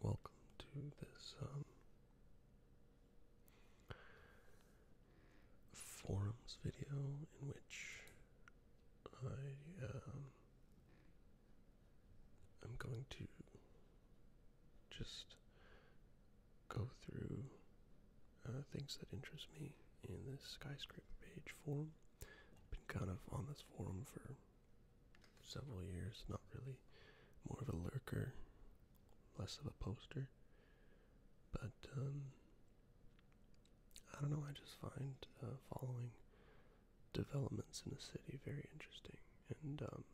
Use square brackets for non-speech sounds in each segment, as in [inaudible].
Welcome to this um, forums video in which I am um, going to just go through uh, things that interest me in this skyscraper page forum. been kind of on this forum for several years. Not really, more of a lurker, less of a poster. But um, I don't know. I just find uh, following developments in a city very interesting, and um,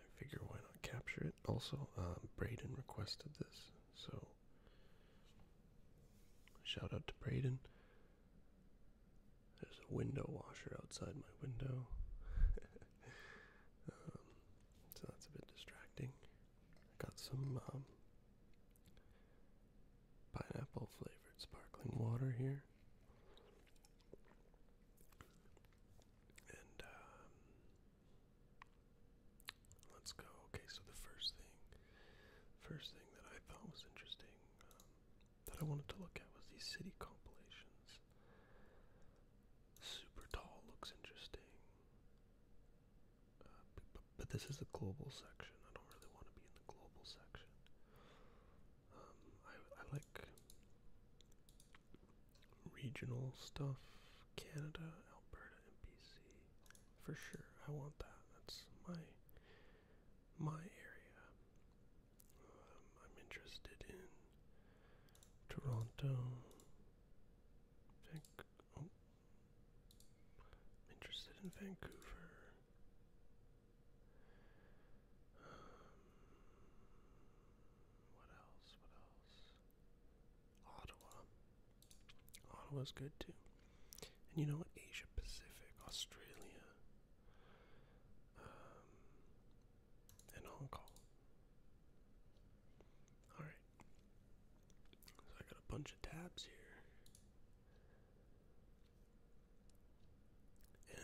I figure why not capture it. Also, uh, Braden requested this, so shout out to Braden. There's a window washer outside my window. [laughs] Um, so that's a bit distracting. I got some um, pineapple flavored sparkling water here. And um, let's go. Okay, so the first thing, first thing that I thought was interesting um, that I wanted to look at was these city compilations. Super tall looks interesting, uh, but, this is the global section. I don't really want to be in the global section. Um, I, I like regional stuff, Canada, Alberta, and BC, for sure. I want that. That's my my area. Um, I'm interested in Toronto. Van oh, I'm interested in Vancouver. Um, what else? What else? Ottawa. Ottawa's good too. And you know what? Asia Pacific, Australia, um, and Hong Kong. Alright. So I got a bunch of tabs here.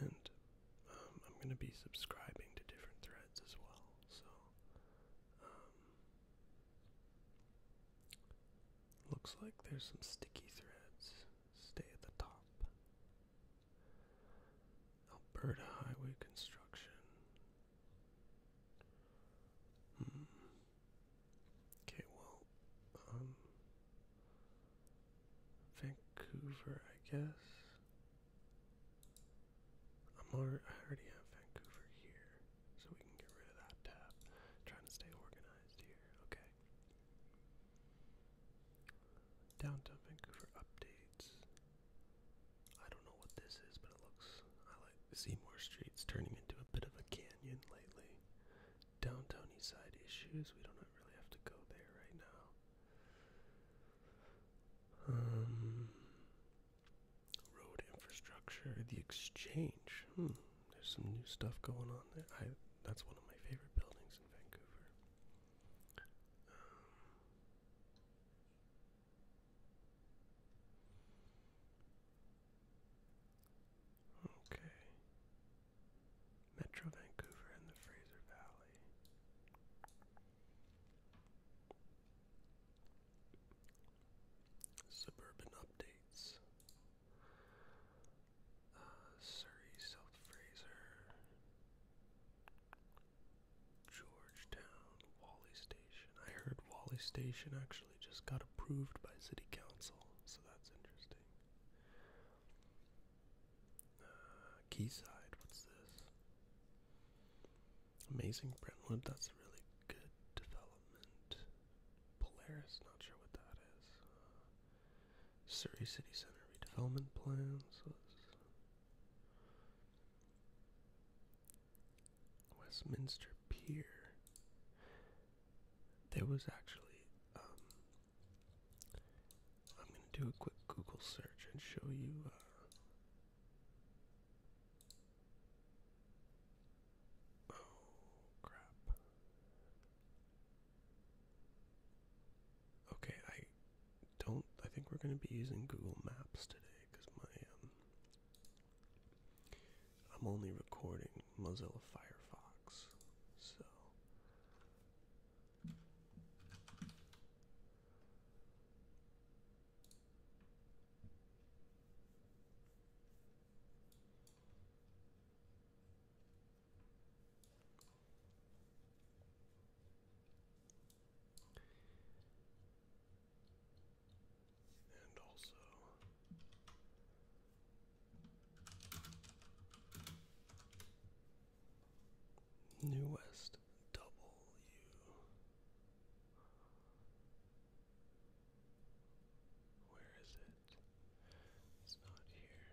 And um, I'm going to be subscribing to different threads as well. So, um, Looks like there's some sticky threads. Stay at the top. Alberta Highway Construction. Hmm. Okay, well, um, Vancouver, I guess. I'm already, have Vancouver here, so we can get rid of that tab. trying to stay organized here. Okay. Downtown Vancouver updates. I don't know what this is, but it looks. I like Seymour Street's turning into a bit of a canyon lately. Downtown Eastside issues. We don't really have to go there right now. Um, road infrastructure. The exchange. Hmm. There's some new stuff going on there. that's one of my favorite buildings in Vancouver. Um, okay. Metro Vancouver and the Fraser Valley. Suburban updates. Uh, Surrey, South Fraser, Georgetown, Wally Station. I heard Wally Station actually just got approved by City Council, so that's interesting. Uh, what's this? Amazing Brentwood, that's a really good development. Polaris, not sure what that is. Surrey City Center redevelopment plan. Westminster Pier. There was actually. Um, I'm gonna do a quick Google search and show you. Uh, Oh, crap. Okay, I don't. I think we're going to be using Google Maps today because my. Um, I'm only recording Mozilla Firefox, so. And also New West W where is it? It's not here.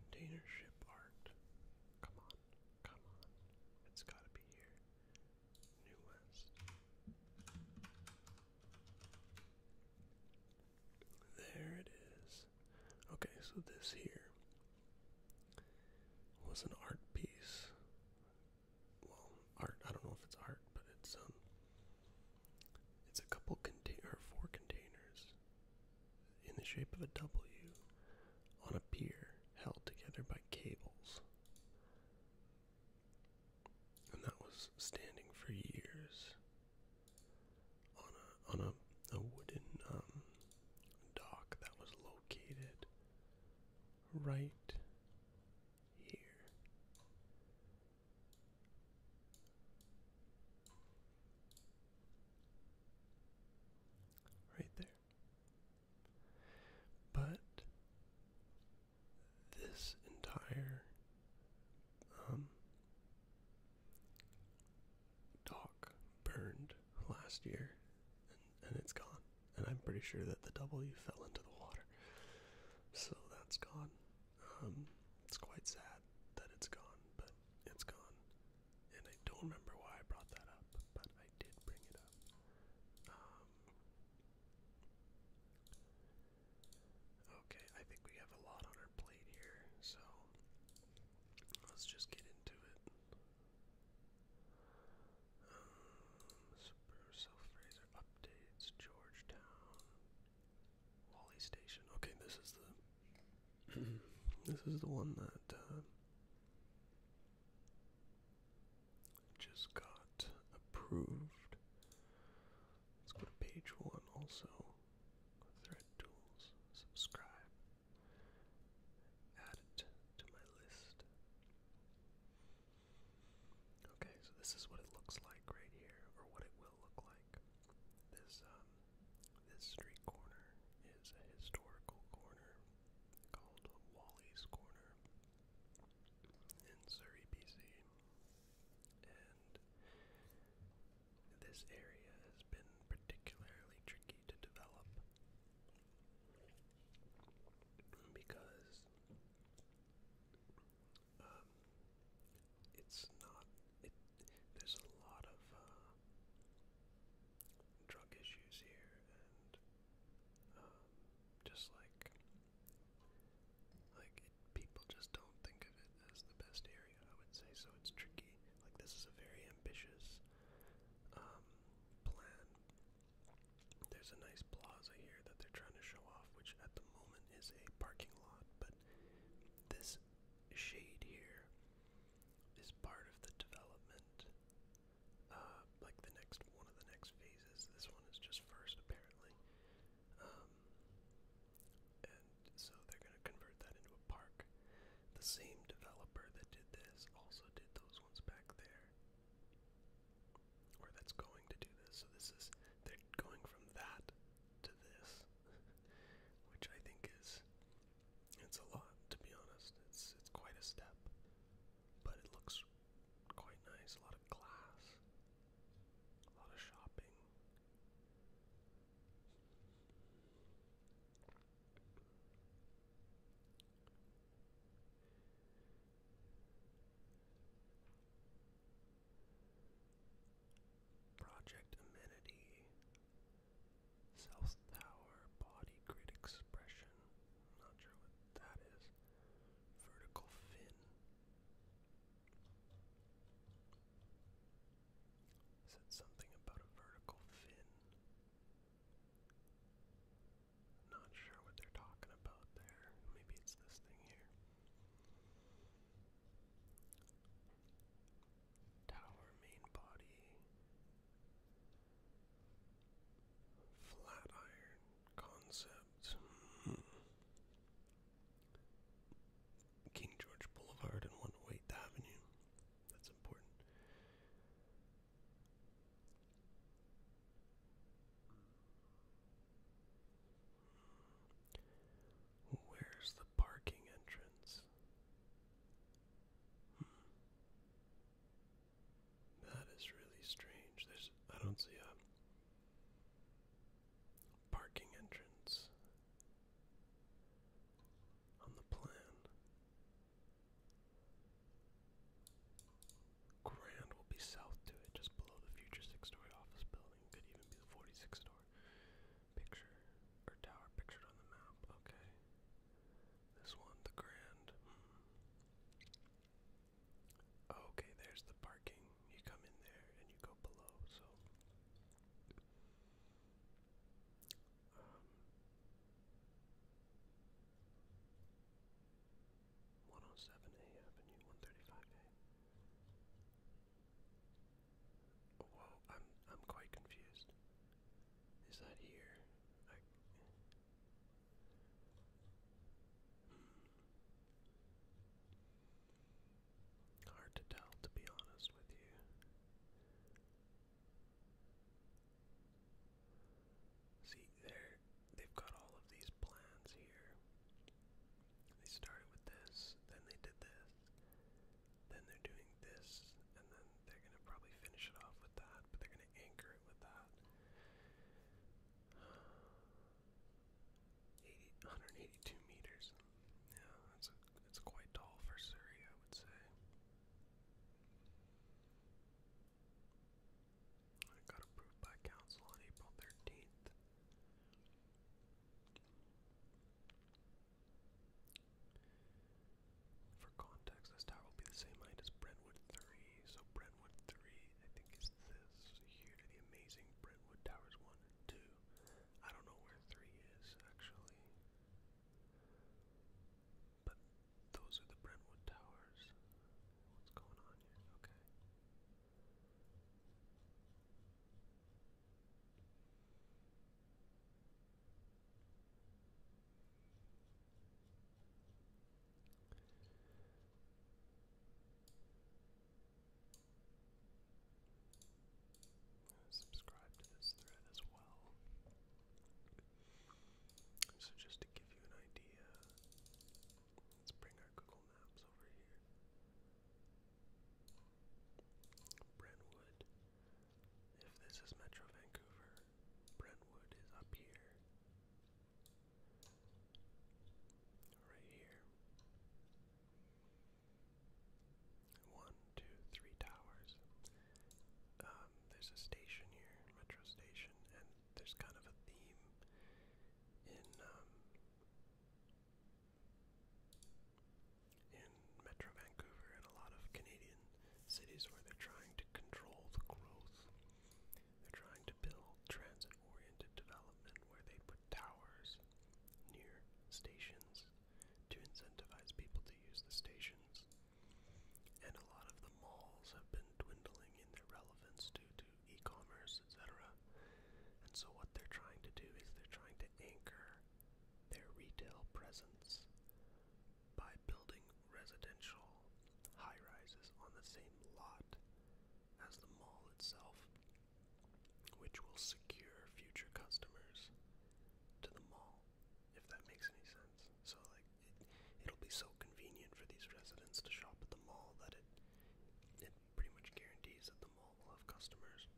Container art. Come on, come on. It's gotta be here. New West. There it is. Okay, so this here was an art piece. Well, art, I don't know if it's art, but it's um it's a couple contain four containers in the shape of a W on a pier held together by cables and that was standing for years on a on a, wooden um, dock that was located right here. Right there. But this entire um, burned last year and, it's gone. And I'm pretty sure that the W fell into the water. So that's gone. Um, it's quite sad that it's gone, but it's gone. And I don't remember why I brought that up, but I did bring it up. Um, Okay, I think we have a lot on our plate here, so let's just get into it. Um, updates, Georgetown, Wally Station. Okay, this is the [clears throat] this is the one that uh, just got approved. Let's go to page one also. Thread tools, subscribe. Add it to my list. Okay, so this is what it looks like right here, or what it will look like. This um this street corner is a historical corner called Wally's Corner in Surrey, BC. And this area has been particularly tricky to develop because um, it's not there's a lot of uh, drug issues here and um, just like like it, people just don't think of it as the best area, I would say. So it's tricky. Like this is a very ambitious um, plan. There's a nice plaza here that they're trying to show off, which at the moment is a parking lot, but this shade here is part of the development uh, like the next one of the next phases. This one is just first, apparently. Um, and so they're going to convert that into a park. The same developer that did this also did those ones back there. Or that's going to do this. So this is, they're going from that to this, [laughs] which I think is, it's a lot, to be honest. It's, it's quite a step, but it looks quite nice. A lot of glass, a lot of shopping. Project Amenity, South Tower, Body Grid Expression, not sure what that is. Vertical fin. Said something about a vertical fin. Not sure what they're talking about there. Maybe it's this thing here. Tower main body. Flat concept. Hmm. King George Boulevard and 108th Avenue. That's important. Where's the parking entrance? Hmm. That is really strange. There's I don't see a parking entrance on the plan. Grand will be south to it, just below the future six-story office building. Could even be the 46 store picture or tower pictured on the map. Okay. This one, the Grand. Hmm. Okay, there's the parking. You come in there and you go below, so. Um, one oh seven A Avenue, one thirty five A. Whoa, I'm I'm quite confused. Is that here? Hard to tell, to be honest with you. See, there they've got all of these plans here. They started with this, then they did this, then they're doing this, and then they're gonna probably finish it off with that, but they're gonna anchor it with that. 80, meters. Yeah, that's that's quite tall for Surrey, I would say. It got approved by council on April 13th. For context, this tower will be the same height as Brentwood 3, so Brentwood Brentwood 3, I think is this. Here to the amazing Brentwood Towers 1 and 2. I don't know where 3 is, actually. But those are the Brentwood Towers. What's going on here? Okay. Subscribe this thread as well. So, just to give you an idea, let's bring our Google Maps over here. Brentwood. If this is Metro Vancouver, Brentwood is up here, Right here. One, two, three towers. Um, there's a station here, metro station, and there's kind of a theme in um, in Metro Vancouver and a lot of Canadian cities where they're trying to control the growth they're trying to build transit oriented development where they put towers near stations to incentivize people to use the stations. And a lot of the malls have been dwindling in their relevance due to e commerce, etc. And so, what they're trying to do is they're trying to anchor their retail presence by building residential high rises on the same lot as the mall itself, which will secure future customers to the mall, if that makes any sense. So, like, it, will be so convenient for these residents to shop at the mall that it it pretty much guarantees that the mall will have customers,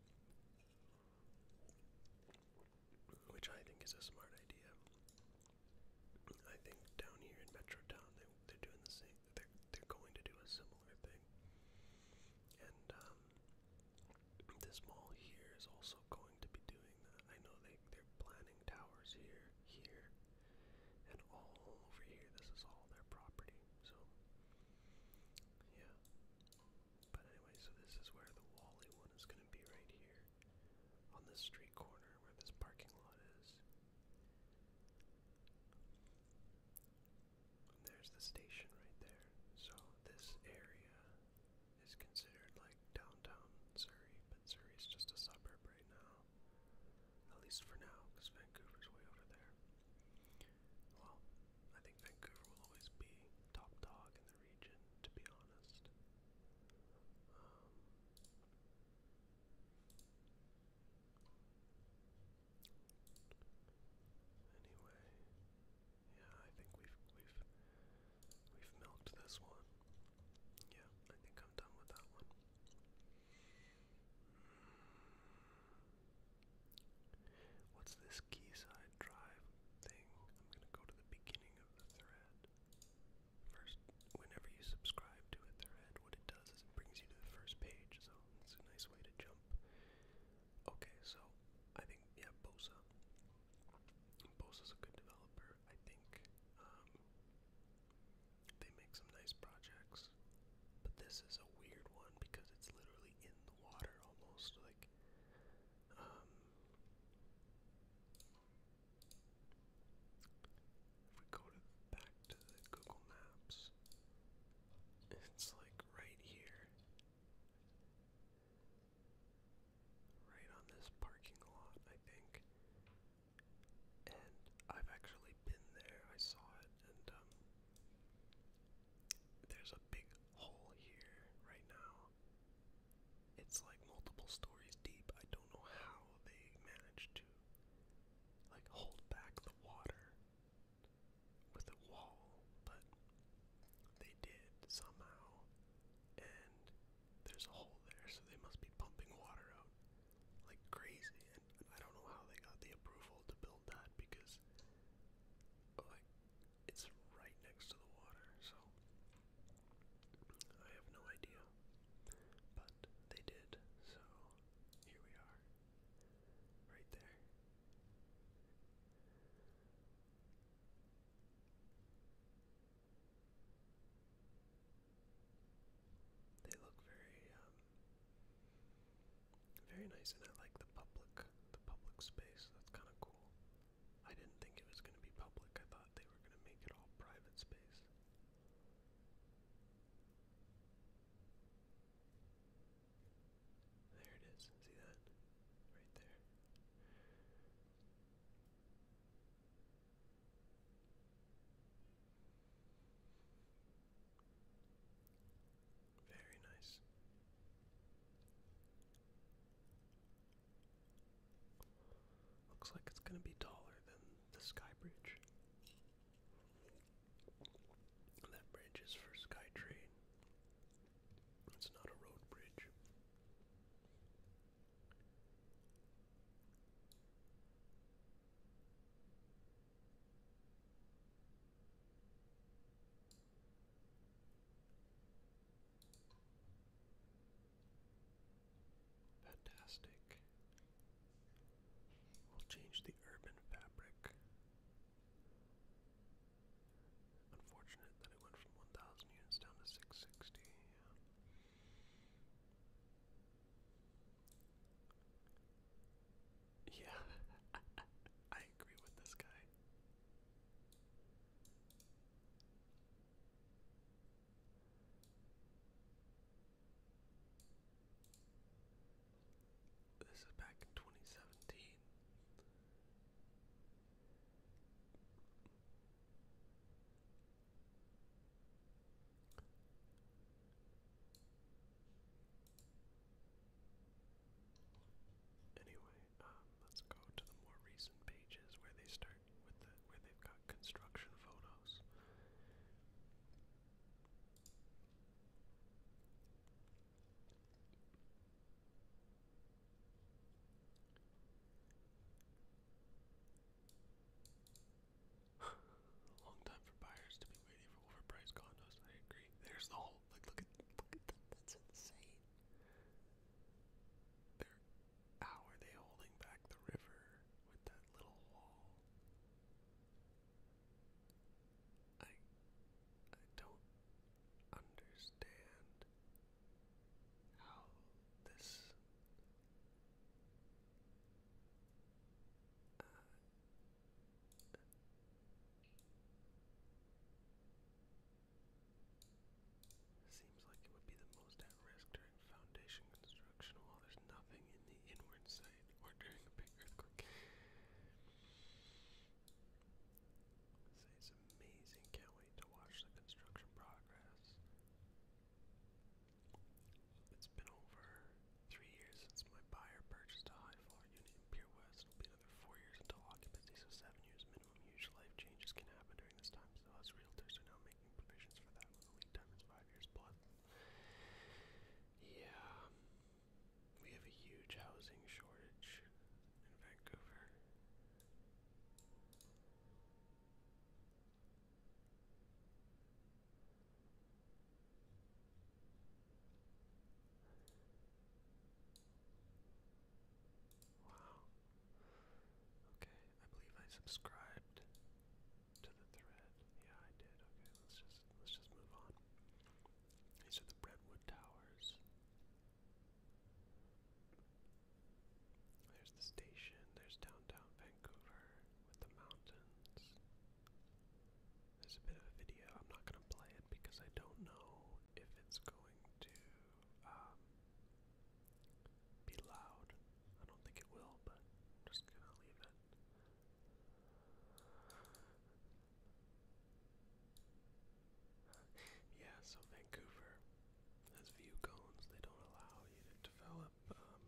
which I think is a smart idea. I think down here in Metro Town, they, they're doing the same. They're they're going to do a similar thing. And um, this mall here is also going to be doing that. I know they they're planning towers here, here, and all over here. This is all their property. So yeah. But anyway, so this is where the Wally one is going to be right here on this street corner where this parking lot is. there's the station right there. So this area is considered like downtown Surrey, but Surrey's just a suburb right now. At least for now, because Vancouver's way over there. Well, I think Vancouver will always be top dog in the region, to be honest anyway, yeah, I think we've we've we've milked this one. Yeah, I think I'm done with that one. What's this Keyside Drive thing? I'm gonna go to the beginning of the thread first, whenever you subscribe to a thread, what it does is it brings you to the first page, so it's a nice way to jump. Okay, so I think, yeah, Bosa. Bosa's a good developer, I think. Um, they make some nice projects, but this is a weird one because it's literally in the water almost. Like, um, if we go to, back to the Google Maps, it's like right here. Right on this parking lot, I think. And I've actually been there. I saw it, and um, there's a big hole here right now. It's like multiple stories deep. I don't know how they managed to like hold back the water with a wall, but they did somehow. And there's a hole there, so they must be pumping water out like crazy. And I don't know how they got the approval to build that because like it's right next to the water, so I have no idea. But they did, so here we are. Right there. They look very, um, very nice, and I like the public, the public space. That's kind of cool. I didn't think it was going to be public. I thought they were going to make it all private space. There it is. See that? Right there. Very nice. Looks like it's going to be taller than the Sky Bridge. that bridge is for SkyTrain. It's not a road bridge. Fantastic. We'll change the urban fabric. Unfortunate that it went from 1,000 units down to 660. Yeah. [laughs] I agree with this guy. This is back in 2017. Anyway, um, let's go to the more recent pages where they start construction photos. [laughs] Long time for buyers to be waiting for overpriced condos. I agree. There's the whole like look at look at that. That's insane. How are they holding back the river with that little wall? I I don't understand how this uh, Seems like it would be the most at risk during foundation construction while there's nothing in the inward site or during a big earthquake. Say it's amazing, can't wait to watch the construction progress. It's been over three years since my buyer purchased a high floor unit in Pier West. It'll be another four years until occupancy, so seven years minimum. Huge life changes can happen during this time, so us realtors are now making provisions for that when the lead time is five years plus. Yeah, we have a huge housing shortage in Vancouver. Wow, Okay, I believe I subscribed to the thread. Yeah, I did. Okay, let's just let's just move on. These are the Redwood Towers. There's the station. There's downtown Vancouver with the mountains. There's a bit of a video. I'm not gonna play it because I don't know if it's going to um, be loud. I don't think it will, but I'm just gonna leave it. Yeah, so Vancouver has view cones. They don't allow you to develop um,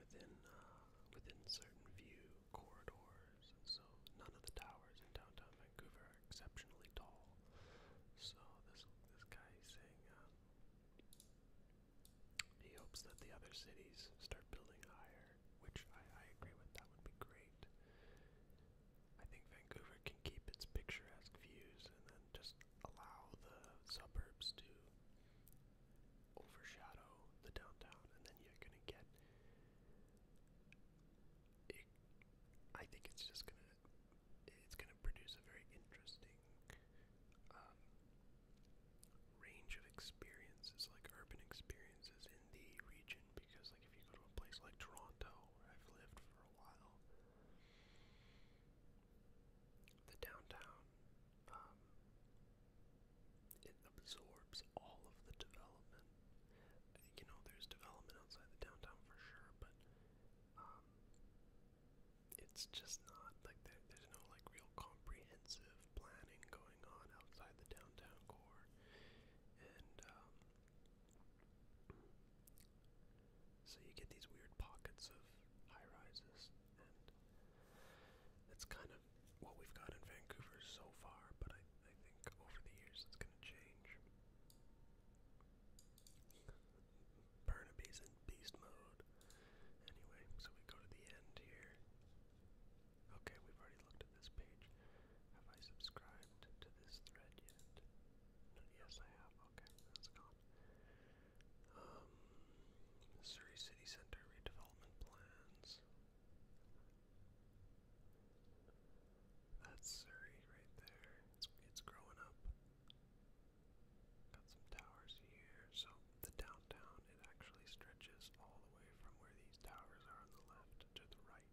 within uh, within certain view corridors. So none of the towers in downtown Vancouver are exceptionally tall. So this this guy is saying um, he hopes that the other cities start building higher, which I, I agree with. That would be great. I think Vancouver can keep its picturesque views and then just allow the suburbs to overshadow the downtown, and then you're gonna get. I think it's just gonna it's gonna produce a very interesting um, range of experiences, like urban experiences in the region. Because like if you go to a place like Toronto, where I've lived for a while, the downtown um, it absorbs all of the development you know, there's development outside the downtown for sure, but um, it's just not like there, there's no like real comprehensive planning going on outside the downtown core, and um, so you get these weird pockets of high rises, and that's kind of what we've got in Vancouver so far. But I I think over the years it's going to change. Burnaby's in beast mode. Anyway, so we go to the end here. Okay, we've already looked at this page. Have I subscribed to this thread yet? yes, I have. Okay, that's gone. Um, Surrey City Center redevelopment plans. That's Surrey right there. It's it's growing up. Got some towers here. So the downtown it actually stretches all the way from where these towers are on the left to the right.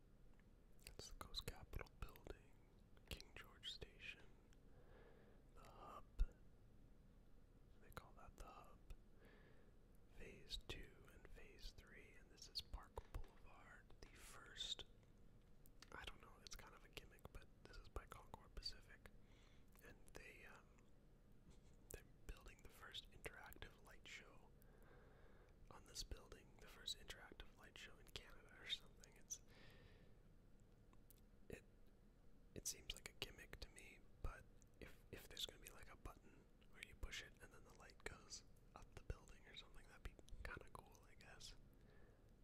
It's the Coast Capital building, King George Station, the hub. They call that the hub. Phase 2 and Phase 3, and this is Park Boulevard, the first. I don't know, it's kind of a gimmick, but this is by Concord Pacific. And they, um, they're building the first interactive light show on this building, the first interactive light show in Canada or something. It's it it seems like a gimmick to me, but if if there's gonna be like a button where you push it and then the light goes up the building or something, that'd be kinda cool, I guess.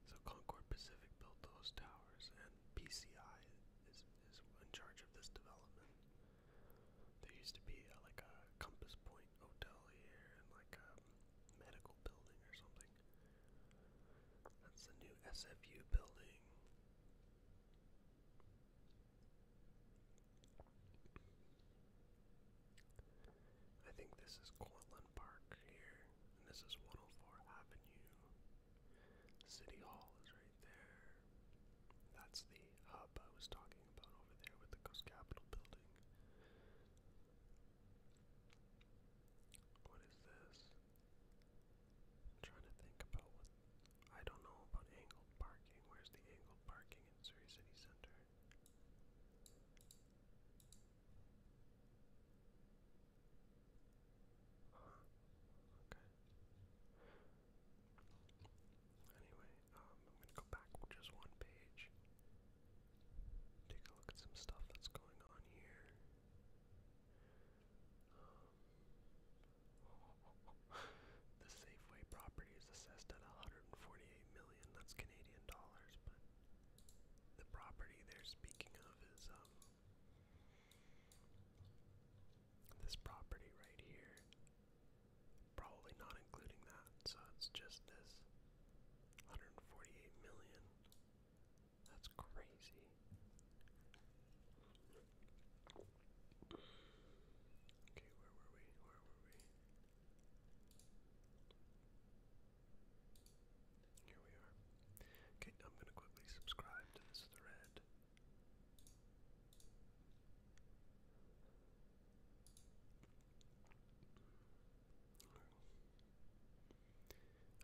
So Concord Pacific built those towers and PCI is is in charge of this development. There used to be a, like a Compass Point hotel here and like a medical building or something. That's the new SFU building. I think this is Cortland Park here, and this is 104 Avenue. City Hall is right there. That's the hub I was talking about over there with the Coast Capitol building. What is this? trying to think about what I don't know about angled parking. Where's the angled parking in Surrey City Center? Okay. Anyway, um, I'm gonna go back just one page. Take a look at some stuff that's going on here. Um, [laughs] the Safeway property is assessed at 148 million. That's Canadian dollars, but the property they're speaking of is um, this property right here Probably not including that, so it's just this 148 million. That's crazy. Okay, where were we? Where were we? Here we are. Okay, I'm going to quickly subscribe to this thread.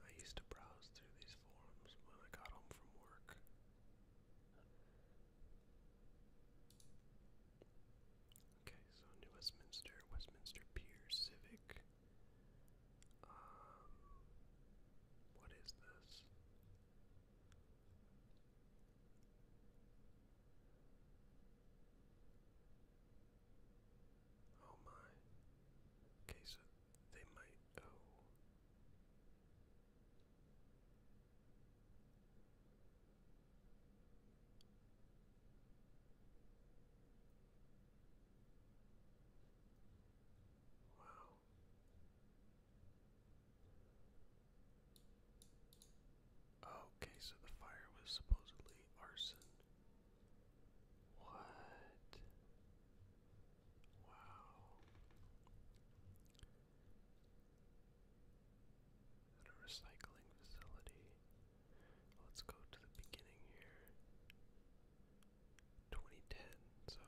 I used to browse through these forums when I got home from work. Okay, so New Westminster, Westminster Pier Civic. Um, what is this? Oh my. Okay, so they might. Oh. Wow. Okay, so the fire was supposedly arson. What? Wow. At a recycling facility. Let's go to the beginning here. 2010, so.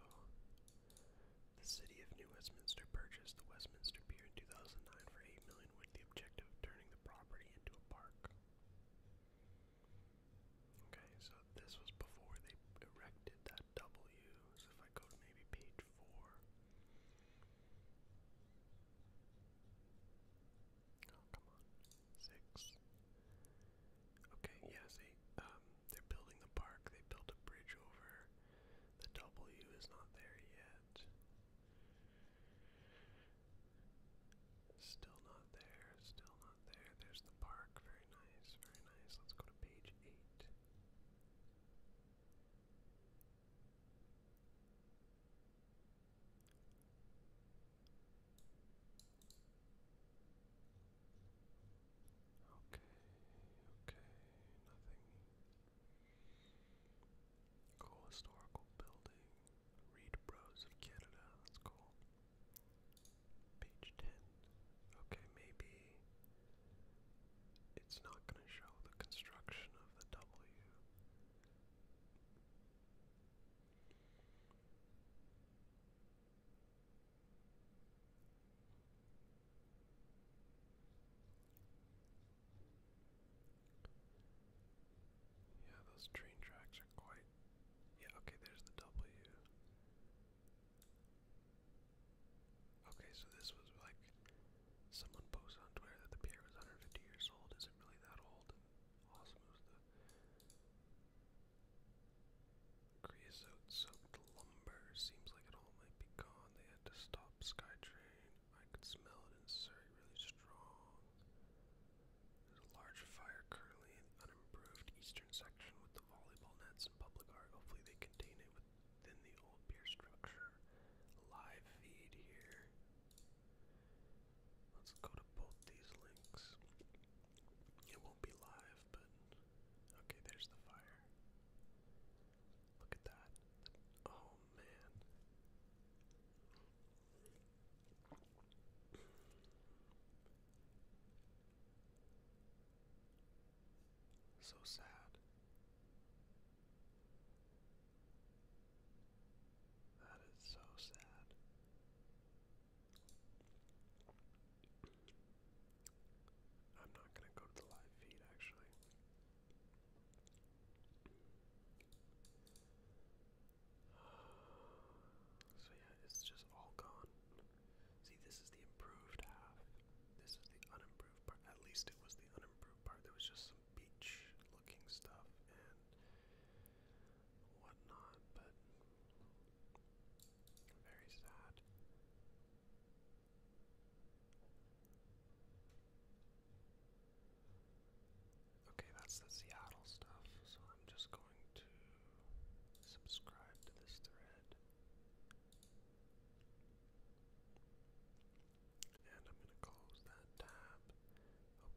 The city of New Westminster purchased the Westminster Pier in 2009 for 8 with the objective of turning the property into a park. Okay, so this was before they erected that W. So if I go maybe page four. Oh, come on. Six. Okay, yeah, see, um, they're building the park, they built a bridge over. The W is not there yet. Still not there, still not there. There's the park. Very nice, very nice. Let's go to page 8. Okay, okay, nothing. Cool historical building. Read Bros of Canada. That's cool. Page 10. Okay, maybe it's not going to show the construction of the W. Yeah, those train tracks are quite. Yeah, okay, there's the W. Okay, so this was like someone posted on Twitter that the pier was 150 years old. Is it really that old? awesome the creosote soaked lumber. Seems like it all might be gone. They had to stop SkyTrain. I could smell it in Surrey really strong. There's a large fire currently in the unimproved eastern section with the volleyball nets and public art. Hopefully they contain it within the old pier structure. Live feed here. Let's go to both these links. It won't be live, but okay, there's the fire. Look at that. Oh man. So sad. That is so sad. I'm not going to go to the live feed actually. So yeah, it's just all gone. See, this is the improved half. This is the unimproved part. At least it was the unimproved part. There was just some beach-looking stuff and whatnot, but very sad. Okay, that's the Seattle stuff, so I'm just going to subscribe to this thread. And I'm going to close that tab.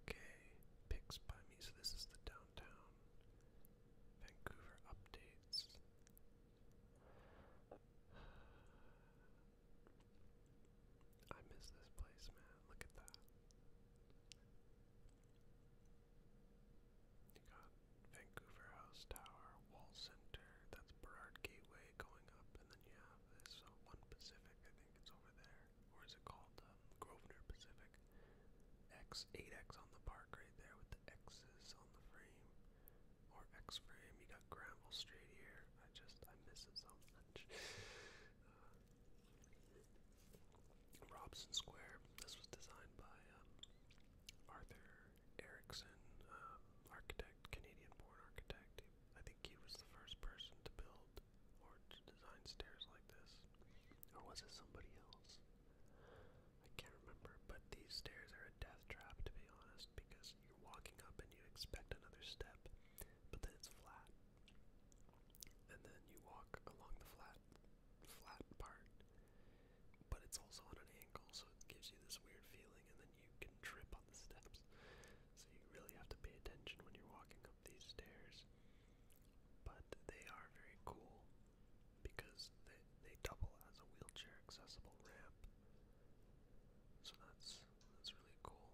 Okay, picks by me. So this is the downtown Vancouver updates. I miss this place, man. Look at that. You got Vancouver House Tower, Wall Center, that's Burrard Gateway going up, and then you have this uh, One Pacific, I think it's over there. Or is it called um, Grosvenor Pacific? X, 8X on the park right there with the X's on the frame. Or X-frame. You got gravel straight here. I just I miss it so much. Uh, Robson Square. This was designed by um, Arthur Erickson, uh, architect, Canadian-born architect. I think he was the first person to build or design stairs like this. Or was it somebody else? I can't remember, but these stairs are a death trap to be honest because you're walking up and you expect another step, but then it's flat. And then you walk along the flat flat part, but it's also on an angle, so it gives you this weird feeling and then you can trip on the steps. So you really have to pay attention when you're walking up these stairs. But they are very cool because they they double as a wheelchair accessible ramp. So that's that's really cool.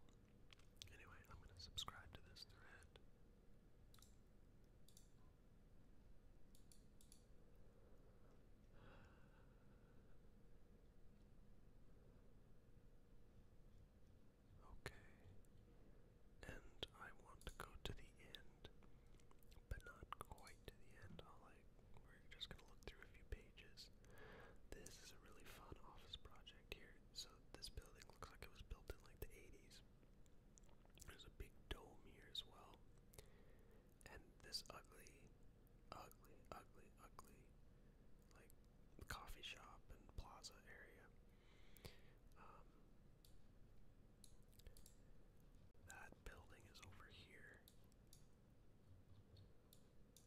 Anyway, I'm gonna subscribe to this thread. Okay. And I want to go to the end, but not quite to the end. I'll like we're just gonna look through a few pages. This is a really fun office project here. So this building looks like it was built in like the 80s. There's a big dome here as well. And this ugly, ugly, ugly, ugly, like coffee shop and plaza area. Um, that building is over here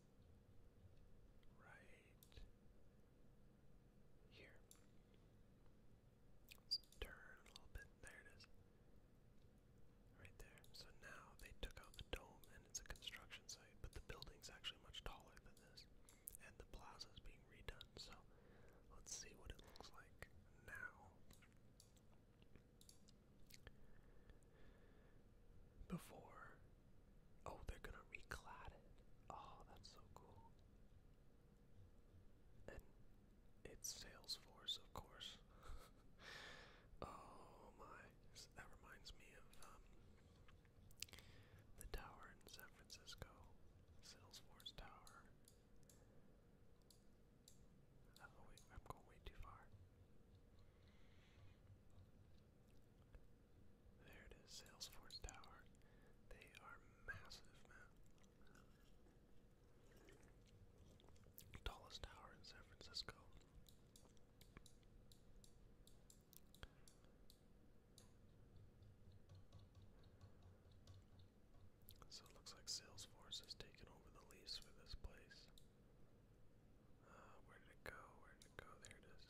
right here. Let's turn a little bit. There it is. Right there. So now they took out the dome and it's a construction site, but the building's actually much taller than this. And the plaza's being redone. So let's see what it looks like now. Before. Oh, they're gonna reclad it. Oh, that's so cool. And it's Salesforce, of course. [laughs] oh my. That reminds me of um, the tower in San Francisco. Salesforce Tower. Oh, I'm going way too far. There it is, Salesforce Tower. They are massive, man. Tallest tower in San Francisco. So it looks like Salesforce has taken over the lease for this place. Uh, where did it go? Where did it go? There it is.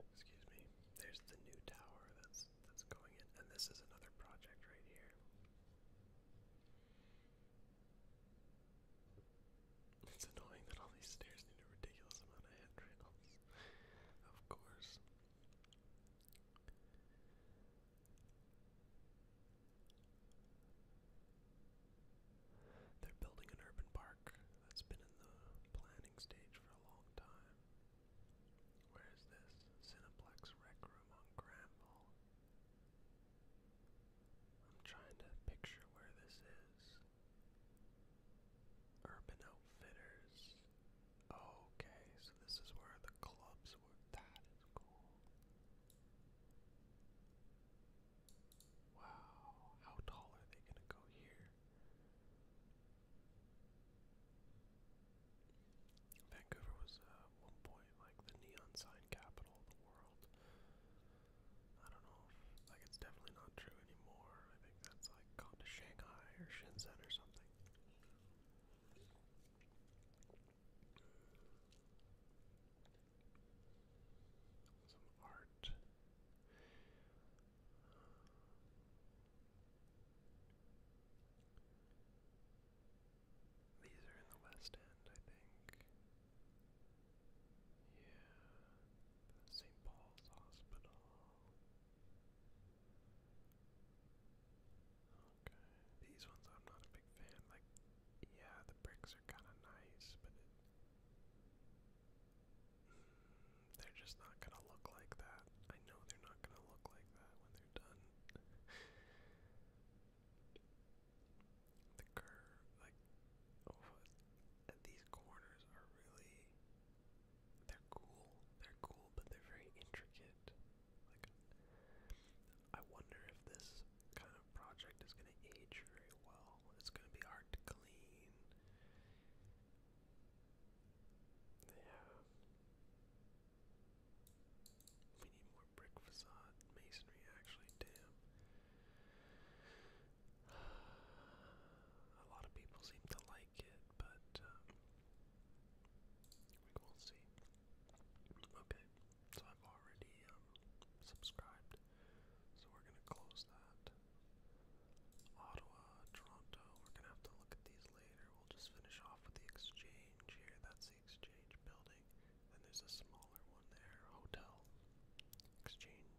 Excuse me. There's the new tower that's that's going in, and this is another project right here. It's annoying that all these stairs need a ridiculous amount of handrails. Of course. They're building an urban park that's been in the planning stage for a long time. Where is this? Cineplex Rec Room on Granville. I'm trying to picture where this is. Urban Outfitters. Okay, so this is where the clubs were. That is cool. Wow, how tall are they gonna go here? Vancouver was at uh, one point like the neon sign capital of the world. I don't know. If, like it's definitely not true anymore. I think that's like gone to Shanghai or Shenzhen or something. Some art. Uh, these are in the West End, I think. Yeah, St. Paul's Hospital. Okay, these ones I'm not a big fan. Like, yeah, the bricks are kind of nice, but mm, they're just not gonna look like that. I know they're not gonna look like that when they're done. the curve, like, oh, these corners are really they're cool. They're cool, but they're very intricate. Like, I wonder if this kind of project is going to age very well. It's going to be hard to clean. Yeah. We need more brick facade masonry, actually. Damn. A lot of people seem to like it, but um, we'll see. Okay, so I've already um, subscribed, so we're gonna close that. Ottawa, Toronto. We're gonna have to look at these later. We'll just finish off with the exchange here. That's the exchange building. Then there's a smaller one there. Hotel, exchange,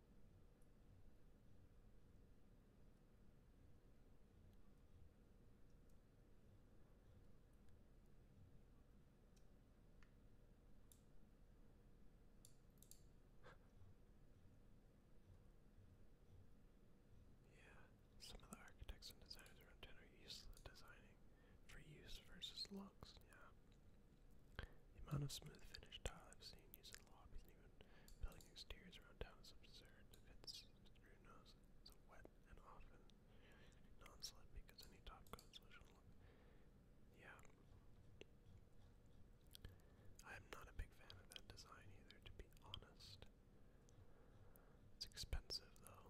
yeah, some of the architects and designers around town are used to designing for use versus looks, yeah. The amount of smooth finished tile I've seen used in the lobbies even building exteriors around town is absurd. It's through nose, it's wet and often non-slip because any top coat solution look. Yeah. I'm not a big fan of that design either, to be honest. It's expensive though.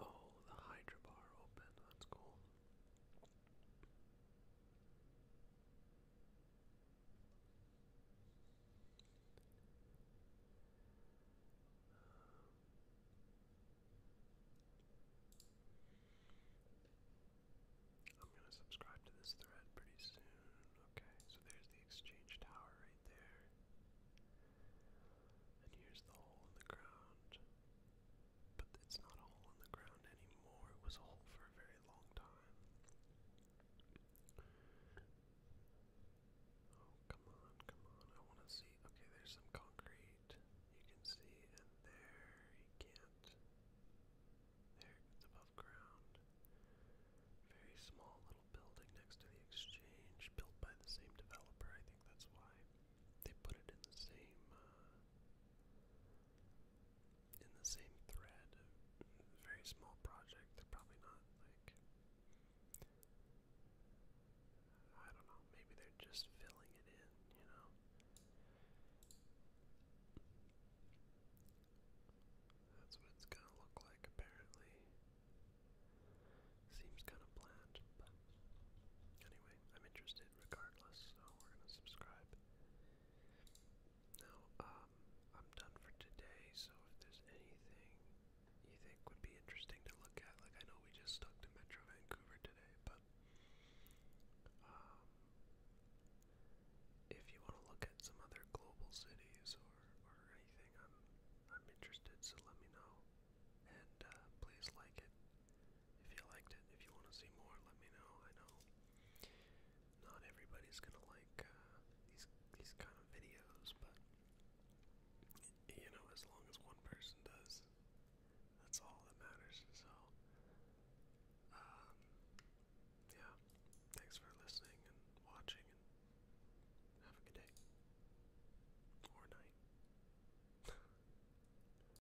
Oh, the Hydra bar open. That's cool. I'm going to subscribe to this thread pretty soon. Okay, so there's the exchange tower right there. And here's the hole in the ground but it's not a hole in the ground anymore. It was a hole for a very long time. Oh, come on, come on. I want to see. Okay, there's some concrete. You can see, and there you can't. There, it's above ground. Very small little building next to the exchange, built by the same developer. I think that's why they put it in the same uh, in the same thread. Very small project. probably not like I don't know. Maybe they're just filling it in. You know. That's what it's gonna look like, apparently. Seems kind of bland, anyway, I'm interested regardless, so we're gonna subscribe. Now, um, I'm done for today, so if there's anything you think would be interesting to look at, like I know we just stuck to Metro Vancouver today, but um, if you want to look at some other global cities or, or anything, I'm, I'm interested, so let me know. And uh, please like it, if you liked it, if you want to see more, let me know. I know not everybody's gonna like uh, these these kind of videos, but you know, as long as one person does, that's all that matters. So, um, yeah. Thanks for listening and watching, and have a good day or night. [laughs]